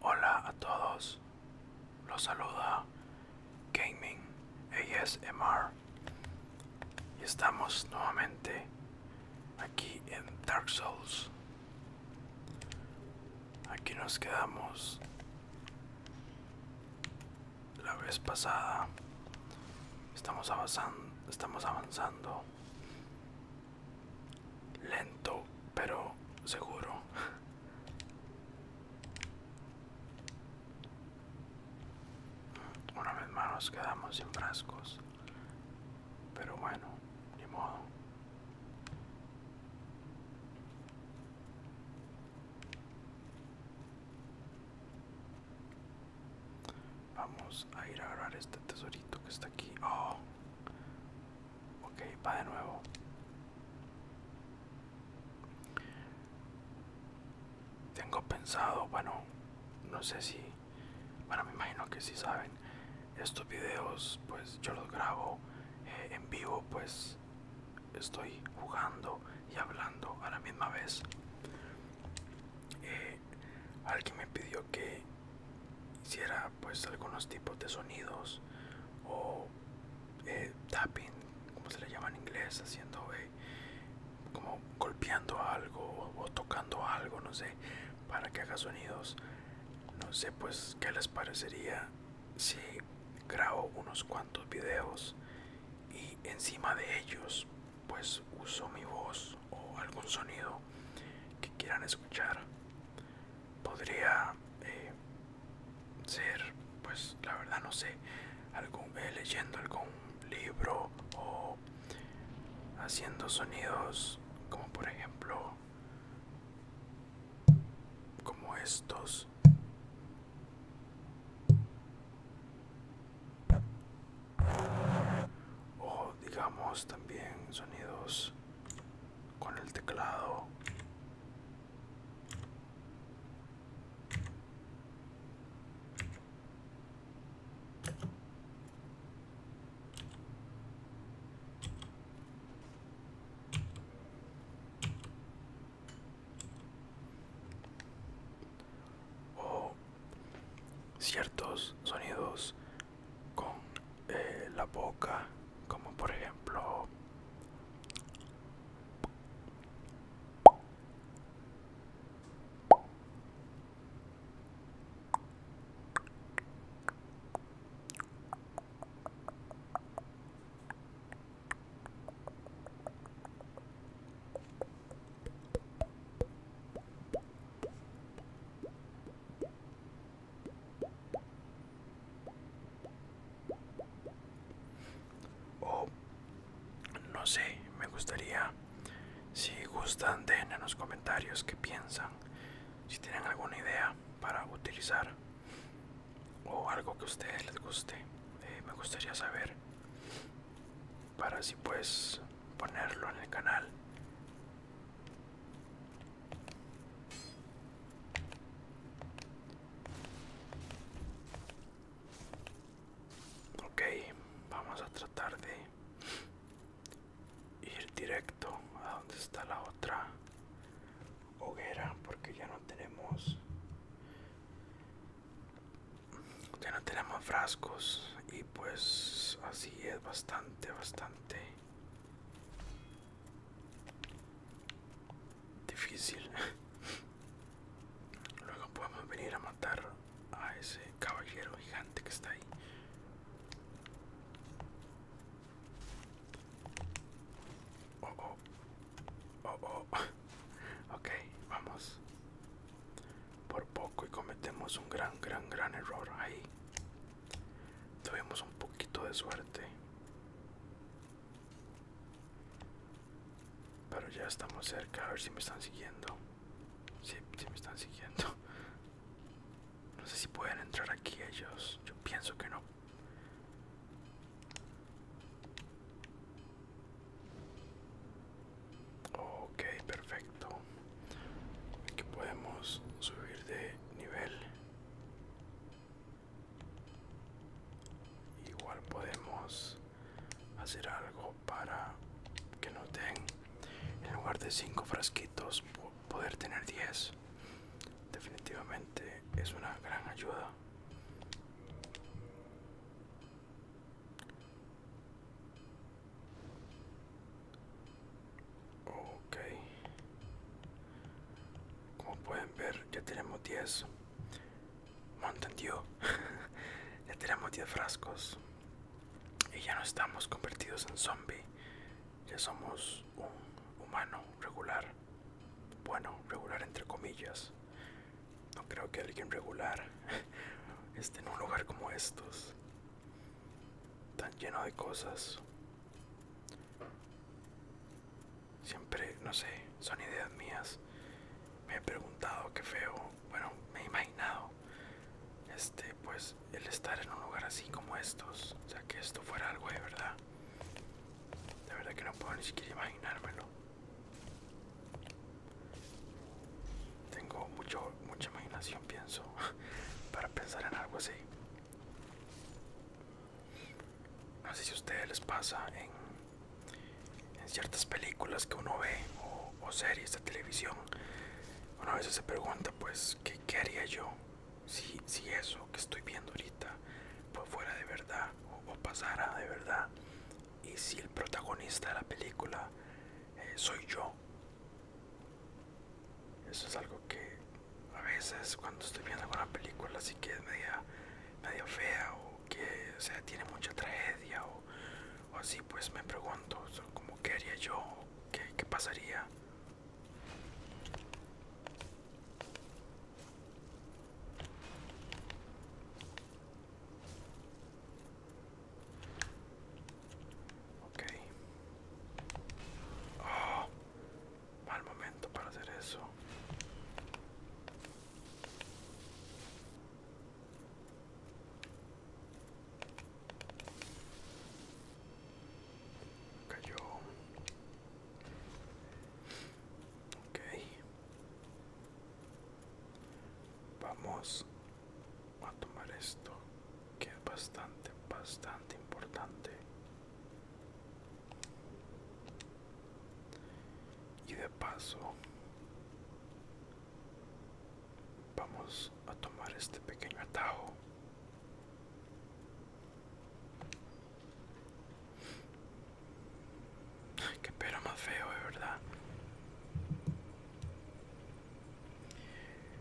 Hola a todos, los saluda Gaming ASMR y estamos nuevamente aquí en Dark Souls. Aquí nos quedamos la vez pasada Estamos avanzando, estamos avanzando. Lento, pero seguro. Una vez más nos quedamos sin frascos. Pero bueno, ni modo. Vamos a ir a agarrar este tesorito que está aquí. Oh. Ok, va de nuevo. Tengo pensado, bueno, no sé si, bueno, me imagino que si saben, estos videos, pues yo los grabo eh, en vivo, pues estoy jugando y hablando a la misma vez. Eh, alguien me pidió que hiciera pues algunos tipos de sonidos o eh, tapping como se le llama en inglés haciendo eh, como golpeando algo o tocando algo no sé para que haga sonidos no sé pues qué les parecería si grabo unos cuantos videos y encima de ellos pues uso mi voz o algún sonido que quieran escuchar podría eh, ser pues la verdad no sé algún eh, leyendo algún libro o haciendo sonidos como por ejemplo como estos o digamos también sonidos con el teclado o ciertos sonidos con eh, la boca como por ejemplo o, oh, no sé, me gustaría, si gustan, dejen en los comentarios que piensan, si tienen alguna idea para utilizar o algo que a ustedes les guste, eh, me gustaría saber para así pues ponerlo en el canal ok vamos a tratar de ir directo a donde está la otra hoguera porque ya no tenemos ya no tenemos frascos y pues así es bastante bastante difícil luego podemos venir a matar a ese caballero gigante que está ahí oh oh oh oh ok vamos por poco y cometemos un gran, gran, gran error ahí. Tuvimos un poquito de suerte. Pero ya estamos cerca, a ver si me están siguiendo. si me están siguiendo. No sé si pueden entrar aquí ellos. Yo pienso que no. Ok, perfecto. Aquí podemos subir de nivel. Igual podemos hacer algo para que nos den, en lugar de 5 frasquitos, poder tener 10. Definitivamente es una gran ayuda. Ok. Como pueden ver, ya tenemos 10. Mountain ya tenemos 10 frascos. Y ya no estamos convertidos en zombie. Ya somos un humano regular. Bueno, regular entre comillas. No creo que alguien regular esté en un lugar como estos tan lleno de cosas. Siempre, no sé, son ideas mías. Me he preguntado qué feo, bueno, me he imaginado, este, pues, el estar en un lugar así como estos, o sea, que esto fuera algo de verdad. De verdad que no puedo ni siquiera imaginármelo. Tengo mucho, mucha imaginación, pienso, para pensar en algo así. No sé si a ustedes les pasa en, ciertas películas que uno ve o, series de televisión. Uno a veces se pregunta, pues, ¿qué, haría yo si, si eso que estoy viendo ahorita pues fuera de verdad o pasara de verdad? y si el protagonista de la película eh, soy yo. Eso es algo que a veces cuando estoy viendo una película así que es media, media fea o que o sea, tiene mucha tragedia o, así, pues me pregunto como qué haría yo, qué, qué pasaría. Ok. Ah, mal momento para hacer eso. Cayó. Ok. Vamos a tomar esto que es bastante bastante importante y de paso vamos a tomar este pequeño atajo Qué pero más feo, de verdad.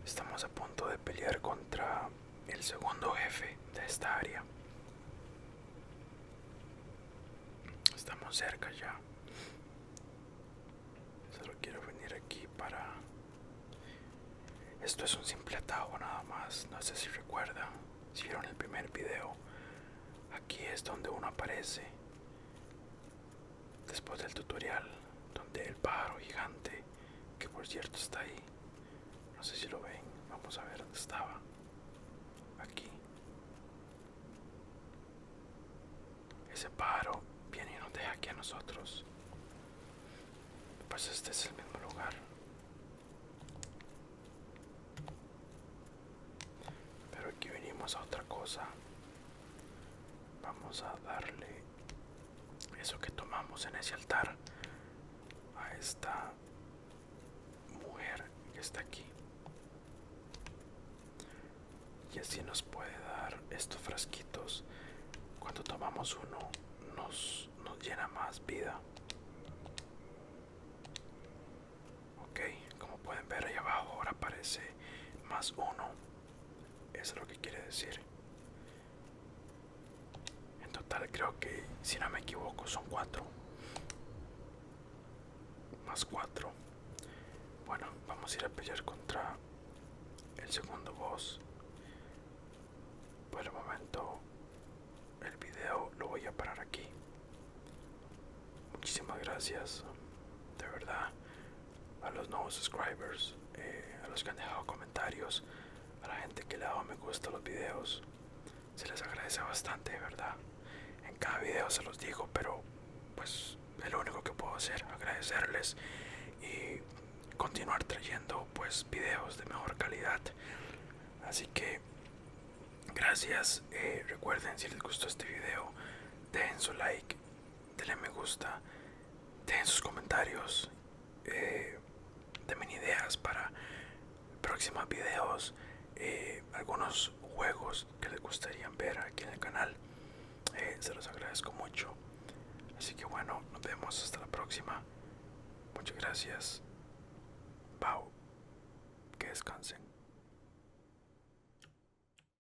Estamos a punto de pelear contra el segundo jefe de esta área. Estamos cerca ya. Solo quiero venir aquí para... Esto es un simple atajo nada más. No sé si recuerdan. Si vieron el primer video. Aquí es donde uno aparece. Después del tutorial donde el pájaro gigante, que por cierto está ahí, no sé si lo ven, vamos a ver dónde estaba. Aquí. Ese pájaro viene y nos deja aquí a nosotros. Pues este es el mismo lugar. Pero aquí venimos a otra cosa. Vamos a darle eso que tomamos en ese altar a esta mujer que está aquí. Y así nos puede dar estos frasquitos. Cuando tomamos uno nos, nos llena más vida. Ok, como pueden ver ahí abajo ahora aparece más uno eso es lo que quiere decir. En total creo que, si no me equivoco, son 4. Más 4. Bueno, vamos a ir a pelear contra el segundo boss. Por el momento el video lo voy a parar aquí. Muchísimas gracias. De verdad, a los nuevos subscribers, eh, a los que han dejado comentarios, a la gente que le ha dado me gusta los videos. Se les agradece bastante, de verdad. En cada video se los digo, pero pues lo único que puedo hacer, agradecerles y continuar trayendo pues videos de mejor calidad. Así que gracias. Eh, recuerden si les gustó este video, dejen su like denle me gusta, dejen sus comentarios, eh, denme ideas para próximos videos, eh, algunos juegos que les gustaría ver aquí en el canal. Eh, se los agradezco mucho. Así que bueno, nos vemos hasta la próxima. Muchas gracias. Pau. Que descansen.